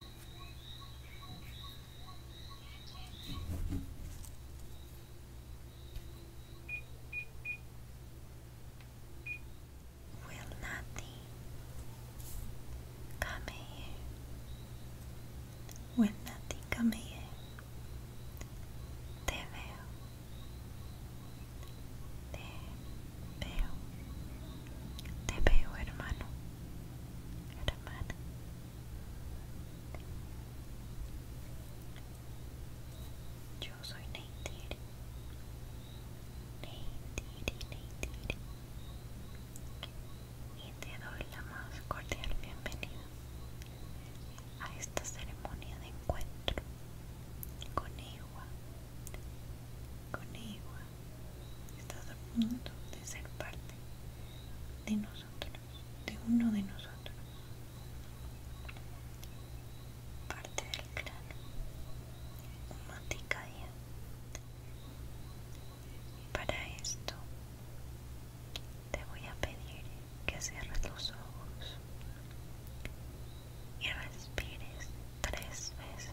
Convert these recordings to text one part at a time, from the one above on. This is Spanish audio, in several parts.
Will nothing come here? Will nothing come here? Te veo. Te veo. Te veo, hermano. Yo soy Neytiri. Neytiri, Neytiri. Y te doy la más cordial bienvenida a esta ceremonia de encuentro con Ewa con igual estás a punto de ser parte de nosotros, de uno de nosotros, parte del cráneo y Para esto te voy a pedir que cierres los ojos y respires tres veces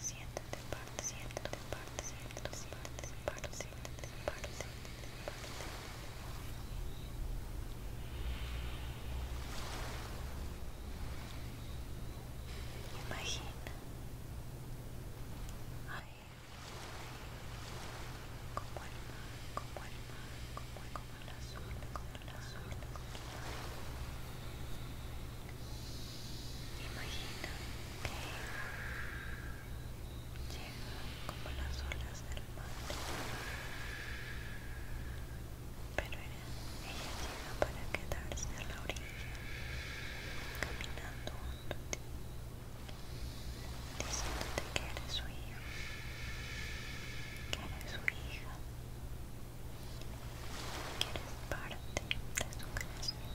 siéntate parte siéntate parte siéntate parte siéntate Imagina ahí como el mar, como el como, el azul, como el azul, como el mar. Imagina Llega como las olas del mar. Pero ella, llega para quedarse a la orilla, caminando junto a ti, diciéndote que eres su hijo, que eres su hija, que eres parte de su creación.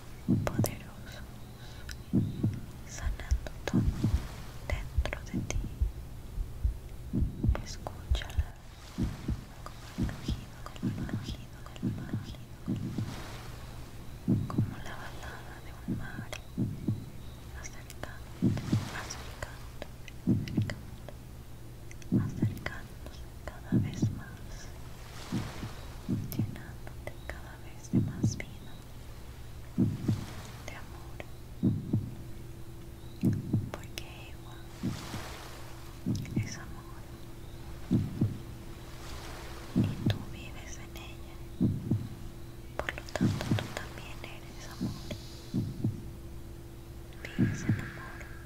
poderosos, sanando todo dentro de ti. Escúchala como el rugido, como el rugido, como el rugido, como la balada de un mar, acercándote, acercándote, acercándote, acercándote cada vez más, llenándote cada vez de más vida, de amor, porque Ewa es amor y tú vives en ella, por lo tanto tú también eres amor, vives en amor.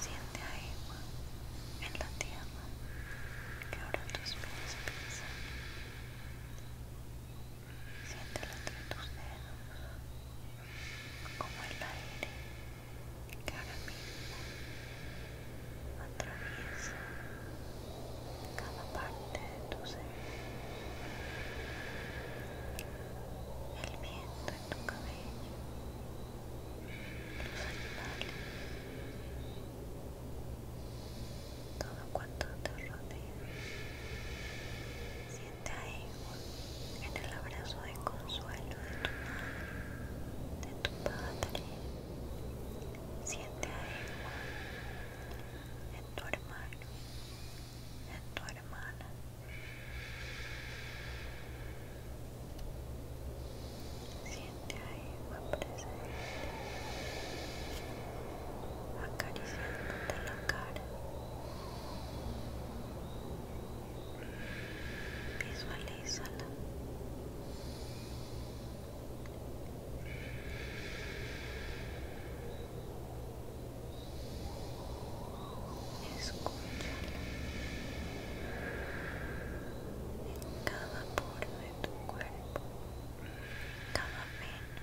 Siente agua en la tierra que ahora tus pies pisan. Siente de tus dedos, como el aire que ahora mismo atraviesa cada parte de tu ser. El viento en tu cabello, los animales, todo cuanto te rodea a ahí en el abrazo de consuelo de tu madre, de tu padre. Siente ahí. en tu hermano, en tu hermana. Siente ahí presente, acariciándote la cara visualizala Escúchala en cada poro de tu cuerpo, cada vena,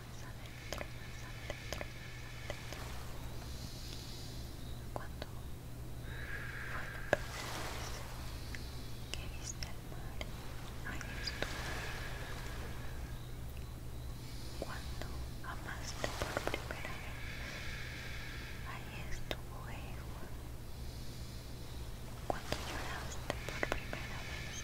más adentro, más adentro, más adentro. Cuando fue la primera vez que viste el mar, ahí estuvo. Cuando amaste por primera vez, ahí estuvo Ewa. Cuando lloraste por primera vez,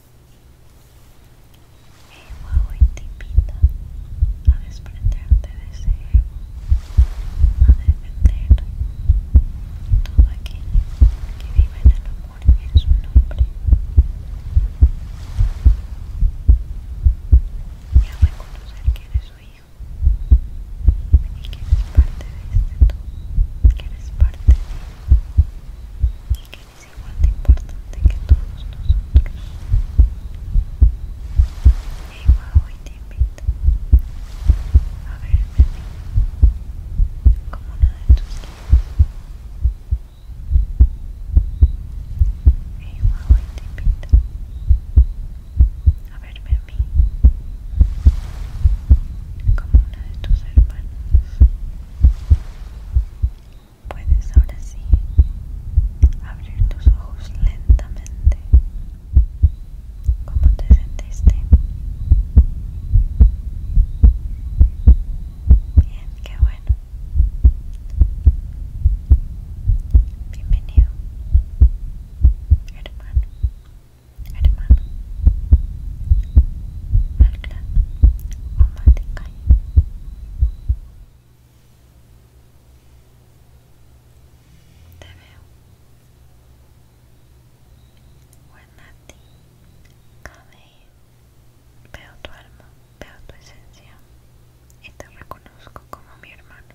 Ego hoy te invita a desprenderte de ese ego, a defender todo aquello que vive en el amor en su nombre y a reconocer que eres su hijo y que eres parte de este tú, que eres parte de él y es igual de importante que todos nosotros. Eva hoy te invito a verme a mí como una de tus guías. Eva hoy te invito a verme a como una de tus hermanas. Puedes ahora sí abrir tus ojos lentamente. ¿Cómo te sentiste? Bien, qué bueno. Bienvenido, hermano, hermano al clan te veo. ti Kamei, veo tu alma, veo tu esencia y te reconozco como mi hermano.